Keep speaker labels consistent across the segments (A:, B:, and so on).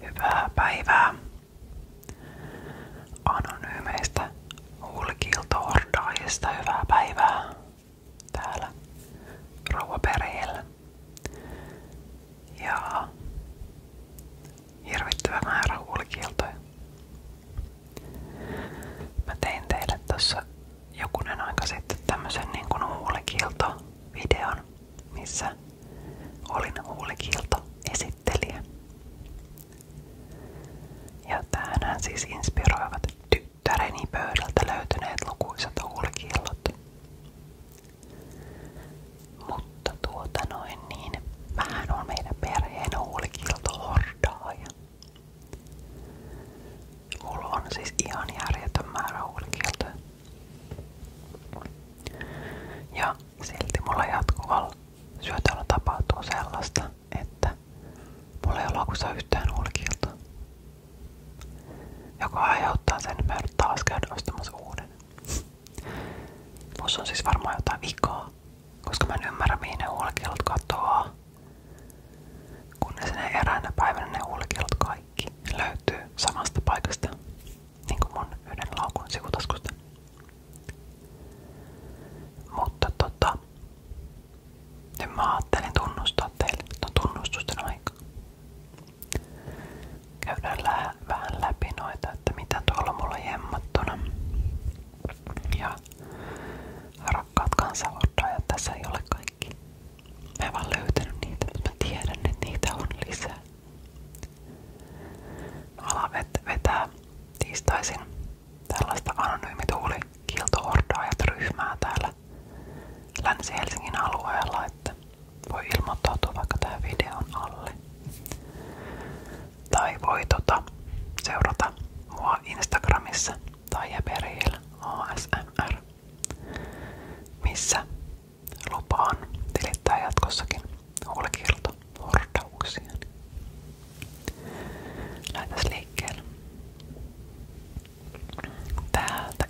A: Hyvää päivää. Anonyymeistä hulkiltoordaajista hyvää päivää täällä Rouvaperheellä. Ja hirvittävä määrä hulkiltoja. tein teille tossa jokunen aika sitten tämmösen niin videon missä Olin huulikilto esittelijä. Ja tähän siis inspiroivat tyttäreni pöydältä löytyneet lukuisat huulikillot. Mutta tuota noin niin, vähän on meidän perheen huulikilto hordaaja. Mulla on siis ihan järjetön määrä huulikiltoja. Ja silti mulla jatkuvalla syötöllä tapahtuu sellaista, että mulla ei ole akussa yhtään ulkilta. Joka aiheuttaa sen, että käydä ostamassa uuden. Mussa on siis varmaan jotain vikaa, koska mä en ymmärrä mihin ne Kunnes ne eräänä päivänä ne ulkilat kaikki kaikki samasta paikasta, niin mun yhden laukun sivutaskusta. Mutta tota, nyt mä tunnustaa teille, että on tunnustusten aika. Käydään vähän läpi että mitä tuolla mulla jemmattuna. Ja rakkaat kansanordajat, tässä ei ole kaikki kaikki. Mä en vaan löytänyt niitä, mutta mä tiedän, että niitä on lisää. Mä no, alan vet vetää tiistaisin tällaista anonyymituulikiltoordaajat ryhmää täällä Länsi-Helsingin alueella, että voi ilmoittautua vaikka tähän videon alle. Tai voi tota, seurata mua Instagramissa tai Jeperiil ASMR, missä Lupaan tilittää jatkossakin huolikirto hordauksiani. Lähdetään liikkeelle.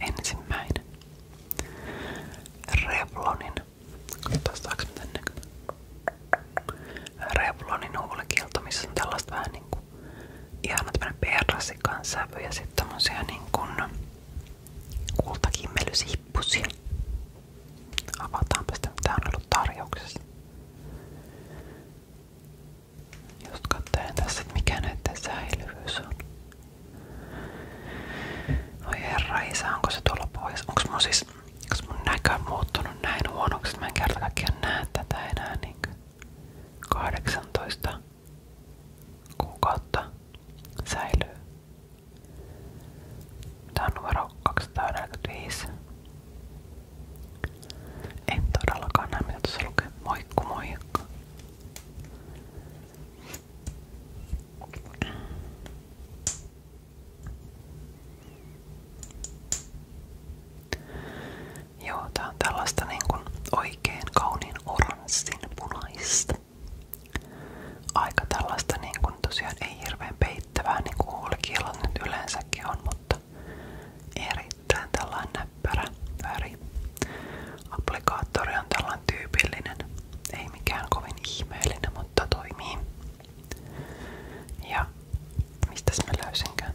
A: ensimmäinen. Revlonin. Katsotaan saaks miten näkyy. Revlonin missä on tällaista vähän niinku ihana tämmönen persikan sävy ja sit tommosia niinkun kultakimmelysippusia. Avataanpa sitä, mitä on ollut tarjouksessa. Just katselen tässä, että mikä näiden säilyvyys on. Oi se tuolla pois? Onko mun siis, onks mun näkö muuttunut näin huonoksi, mä en kerta kaikkiaan näe tätä enää kuukautta säilyy. Tää on numero 245. En todellakaan näe mitä tuossa lukee. Moikku moikka. Joo, tää on tällaista niin kuin oikein kauniin oranssin punaista. Aika tällaista niin kuin tosiaan ei hirveän peittävää niin kuin huulikielat nyt yleensäkin on, mutta erittäin tällainen näppärä väri. Applikaattori on tällainen tyypillinen, ei mikään kovin ihmeellinen, mutta toimii. Ja mistäs mä löysinkään?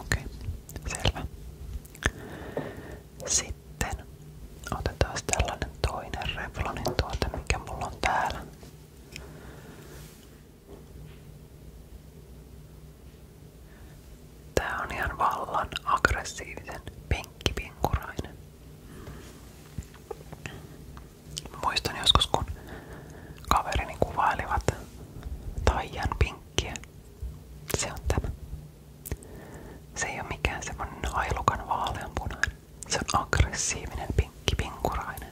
A: Okei, okay, selvä. Sitten otetaan tällainen toinen Revlonin tuote, mikä mulla on täällä. Tää on ihan vallan aggressiivisen penkkipinkurainen. Muistan joskus kun kaverini kuvailivat Taijan pinkkiä. Se on tämä. Se ei ole mikään semmonen ailukan vaaleanpunainen. Se on aggressiivinen pinkki pinkurainen.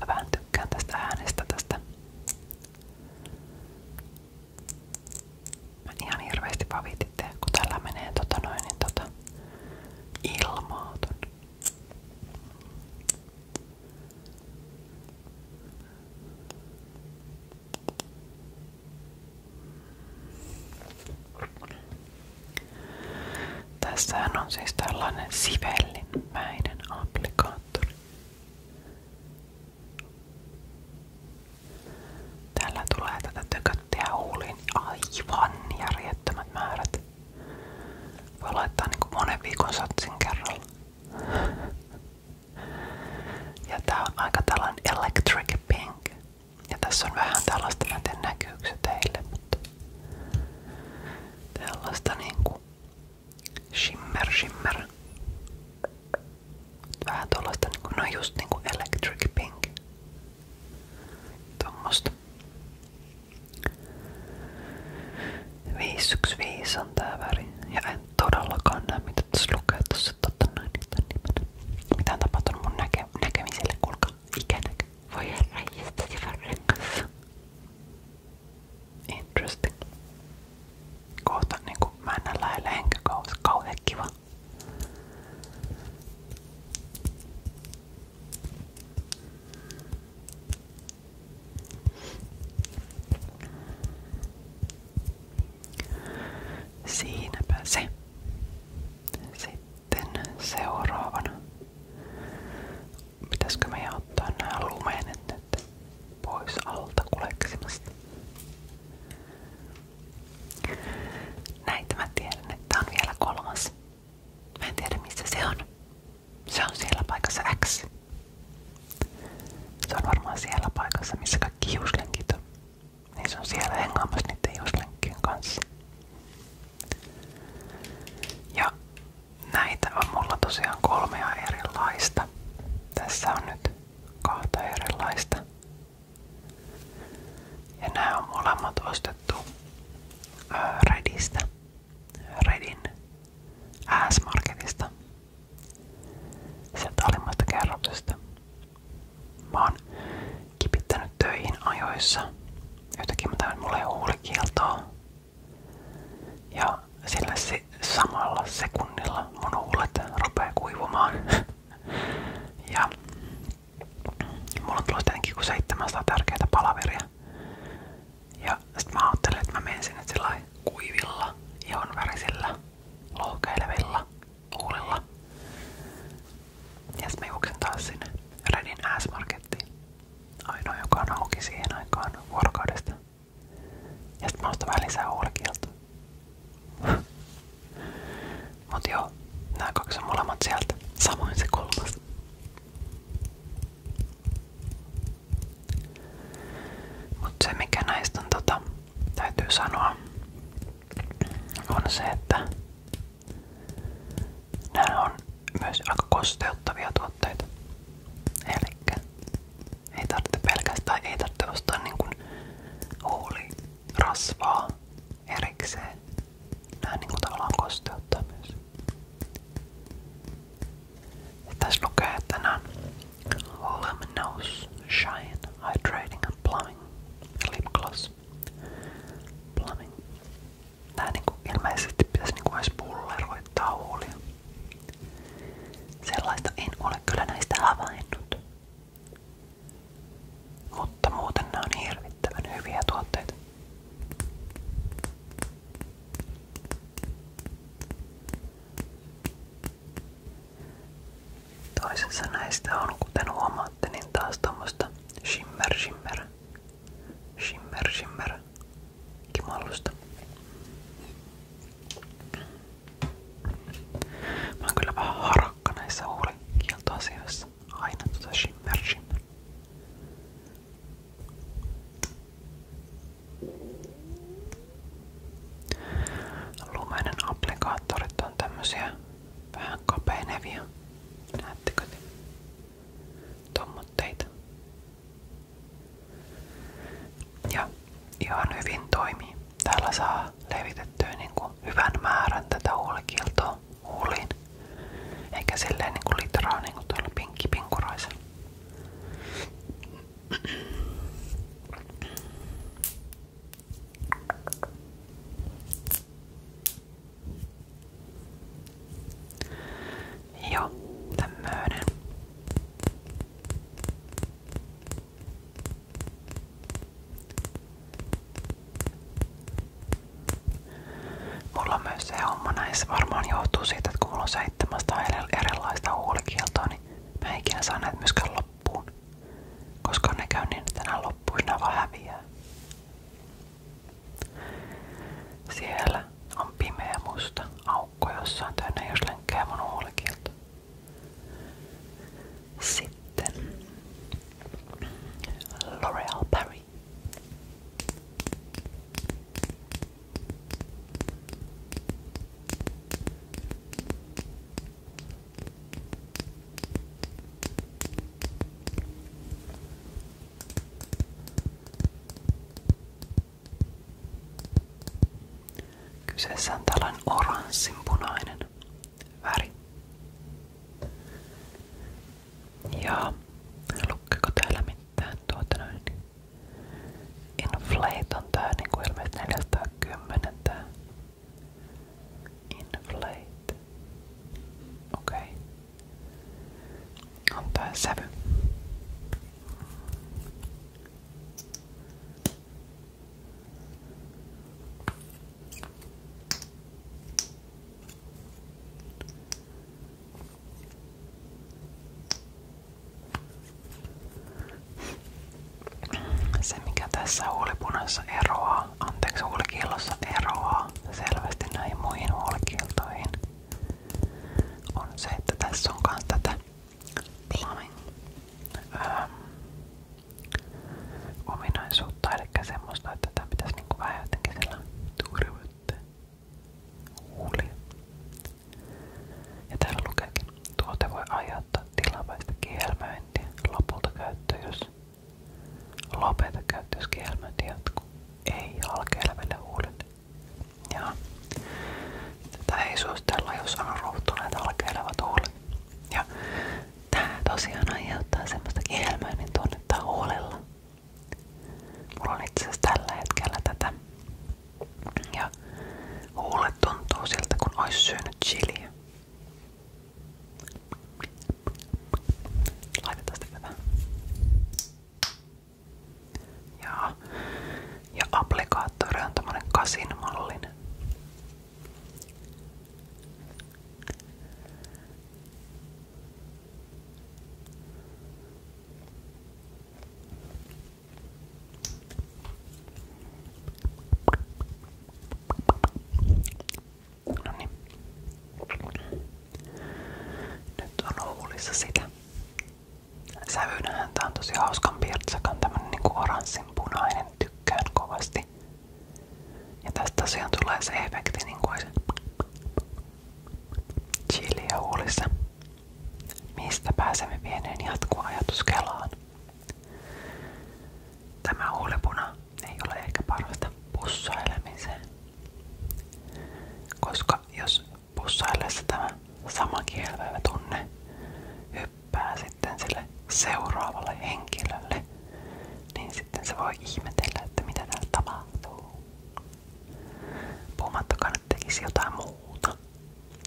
A: Mä vähän tykkään tästä äänestä tästä ihan hirveesti vavititte, kun tällä menee tota noin, niin tota ilmaa ton. Tässähän on siis tällainen sivellinmäinen applikaattori. Tällä tulee tätä tököttiä huuliin aivan järjettömät määrät. Voi laittaa niinku monen viikon satsin kerralla. Ja tää on aika tällainen electric pink. Ja tässä on vähän tällaista, mä en tiedä näkyykö se teille, mutta tällaista niinku shimmer shimmer vähän tuollaista, niinku, no just niinku Electric Pink. Tuommoista. 515 on tää väri. Ja en todellakaan näe mitä tässä lukee tossa totta noin niitä nimenä. Mitä on tapahtunut mun näke näkemiselle, kuulkaa ikänäkö. Voi herra, jästä se varrekassa. Interesting. Kohta niinku mä en näe lähellä enkä kauhean kiva. Siinäpä se. Sitten seuraavana. Pitäisikö me ottaa nämä lumenet nyt? pois alta kuleksimasta. Näitä mä tiedän, että on vielä kolmas. Mä en tiedä missä se on. Se on siellä paikassa X. Se on varmaan siellä paikassa, missä kaikki hiuslenkit on. Niin se on siellä hengaamassa niiden hiuslenkkien kanssa. Ja näitä on mulla tosiaan kolmea erilaista. Tässä on nyt kahta erilaista. Ja nämä on molemmat ostettu ää, Redistä. Redin S-marketista. Sieltä alimmasta kerroksesta. Mä oon kipittänyt töihin ajoissa. Jotakin mä tämän mulle huulikieltoa ja sillä si samalla sekunnilla mun huulet kuivumaan. ja mulla on tullut tietenkin tärkeitä palaveria. Ja että mä menen sinne sillä kuivilla, ihonvärisillä, lohkeilevilla huulilla. Ja sit mä juoksen taas sinne Redin s Ainoa, joka on auki siihen aikaan vuorokaudesta. Ja sit mä ostan vähän lisää olkilta. Mut joo, nää kaksi on molemmat sieltä. Samoin se kolmas. Mut se mikä näistä on tota, täytyy sanoa, on se, että nämä on myös aika kosteuttavia tuo tuotteita. Elikkä ei tarvitse pelkästään, ei tarvitse ostaa niinkun huulirasvaa erikseen. Nää niinku tavallaan kosteuttaa myös. Ja tässä lukee, että nää on Luminous Shine Hydrating and Plumbing Lip Gloss. Plumbing. Nää niinku ilmeisesti pitäisi niinku edes pulleroittaa huulia. Sellaista en ole kyllä näistä havainnut. Mutta muuten nämä on hirvittävän hyviä tuotteita. Toisessa näistä on, kuten huomaatte, niin taas tuommoista shimmer shimmer. Shimmer shimmer kimallusta. Mä oon kyllä vähän harakka näissä huulikieltoasioissa. Aina tota shimmer shimmer. Lumenen applikaattorit on tämmösiä vähän kapeinevia. Näettekö te? Tommotteita. Ja ihan hyvin toimii. Täällä saa levitettyä niin kuin hyvän määrän tätä huulikiltoa huuliin. Eikä silleen niin kuin litraa niin kuin tuolla pinkkipinkuraisella. Joo, tämmöinen. Mulla on myös se homma näissä varmaan johtuu siitä, että kun mulla on 700 erilaista huulikieltoa, niin mä en ikinä saa näitä myöskään loppuun. Koska ne käy niin, että nämä loppuina vaan häviää. Siellä on pimeä musta aukko, jossa on täynnä jos lenkkää mun huolekilta. Sitten L'Oreal Paris. Kyseessä on tällainen oranssinpunainen väri. Ja lukkeeko täällä mitään tuota noin? Inflate on tää niinku ilmeisesti 410 tää. Inflate. Okei. Okay on tää sävy. Se mikä tässä huulipunassa eroaa, anteeksi huulikillossa eroaa selvästi näihin muihin huulikiltoihin on se, tässä on myös tätä plumbing ähm, että tätä pitäisi niinku vähän jotenkin sillä turvata huulia. Ja täällä lukeekin, tuote voi aiheuttaa tilapäistä kielmöintiä lopulta käyttö, Lopeta käyttöski helmöinti jatkuu. Ei halkeileville huulille. ja Tätä ei suostella, jos on ruuhtuneet halkeilevat huulet. Ja tää tosiaan aiheuttaa semmoista kielmöinnin tunnetta huolella. Mulla on itse asiassa tällä hetkellä tätä. Ja huulet tuntuu siltä, kun olisi syönyt chiliä. Laitetaan sitten tätä. Ja, ja applikaattori on tämmönen kasin mallinen. No niin. Nyt on huulissa sitä. Sävynähän tää on tosi hauskan pirtsakan, tämmönen niinku oranssinpunainen, tykkään kovasti. Ja tästä tosiaan tulee se efekti niinku olisi chiliä huulissa. Mistä pääsemme vieneen jatkuu ajatus Kelaan. Tämä huulipuna ei ole ehkä parasta pussailemiseen. Koska jos pussaillessa tämä sama kielvevä tunne hyppää sitten sille seuraavalle henkilölle, niin sitten se voi ihmetellä, että mitä täällä tapahtuu. Puhumattakaan, että tekisi jotain muuta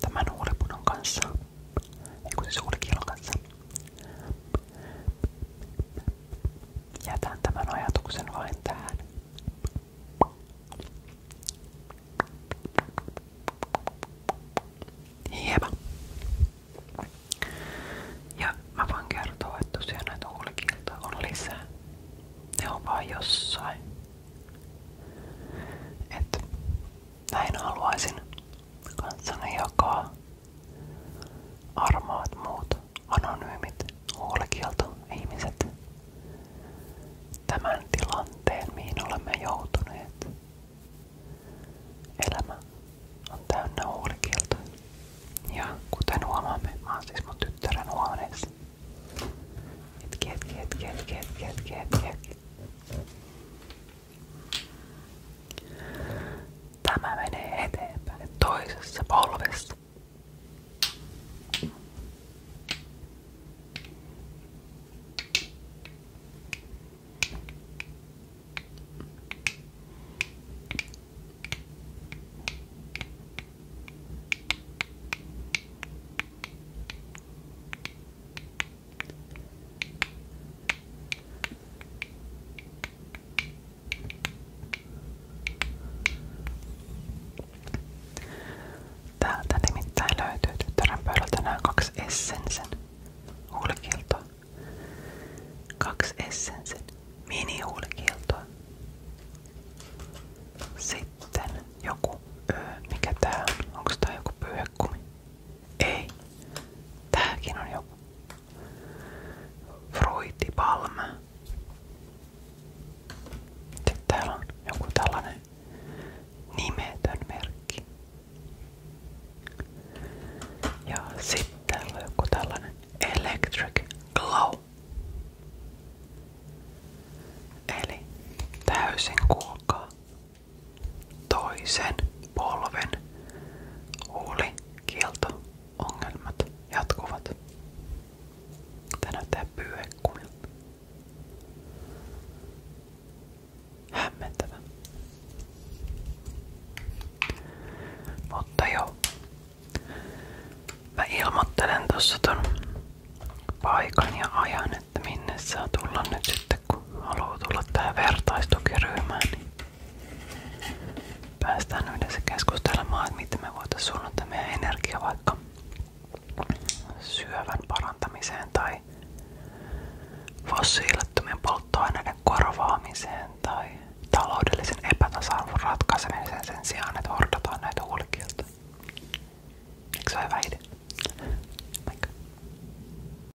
A: tämän huulipunon kanssa. Ei kun siis kanssa jätän tämän ajatuksen vain tähän. Ja mä voin että tosiaan näitä on lisää. Ne on jossain. Et näin haluaisin kanssani jakaa Armaat muut anonyymit huolekielto ihmiset. Tämän tilanteen, mihin olemme joutuneet. Elämä on täynnä huolekieltoja. Ja kuten huomaamme, mä oon siis mun tyttären huoneessa. Hetki, hetki, hetki, hetki, hetki, hetki, hetki, hetki. Tämä menee eteenpäin toisessa polvessa. Täältä nimittäin löytyy tyttären pöydältä nämä kaksi Essensen hulkiiltoa. Kaksi Essensen mini-hulkiiltoa. Sitten joku, öö, mikä tää on? Onko tää joku pyyhekumi? Ei. Tääkin on joku Fruitipalm. Sitten täällä on joku tällainen nimetön merkki. Ja sitten täällä on joku tällainen Electric Glow. Eli täysin kuulkaa Toisen polven huulikielto-ongelmat jatkuvat. Tää näyttää pyyhekkumilta. Hämmentävä. Mutta joo. Mä ilmoittelen tossa ton paikan ja ajan, että minne saa tulla nyt sitten, kun haluaa tulla tähän vertaistukiryhmään. Niin päästään yhdessä keskustelemaan, että miten me voitaisiin suunnata meidän energia vaikka syövän parantamiseen tai fossiilettomien polttoaineiden korvaamiseen tai taloudellisen epätasa ratkaisemiseen sen sijaan, että hordataan näitä ulkilta. Eikö se ole hyvä idea?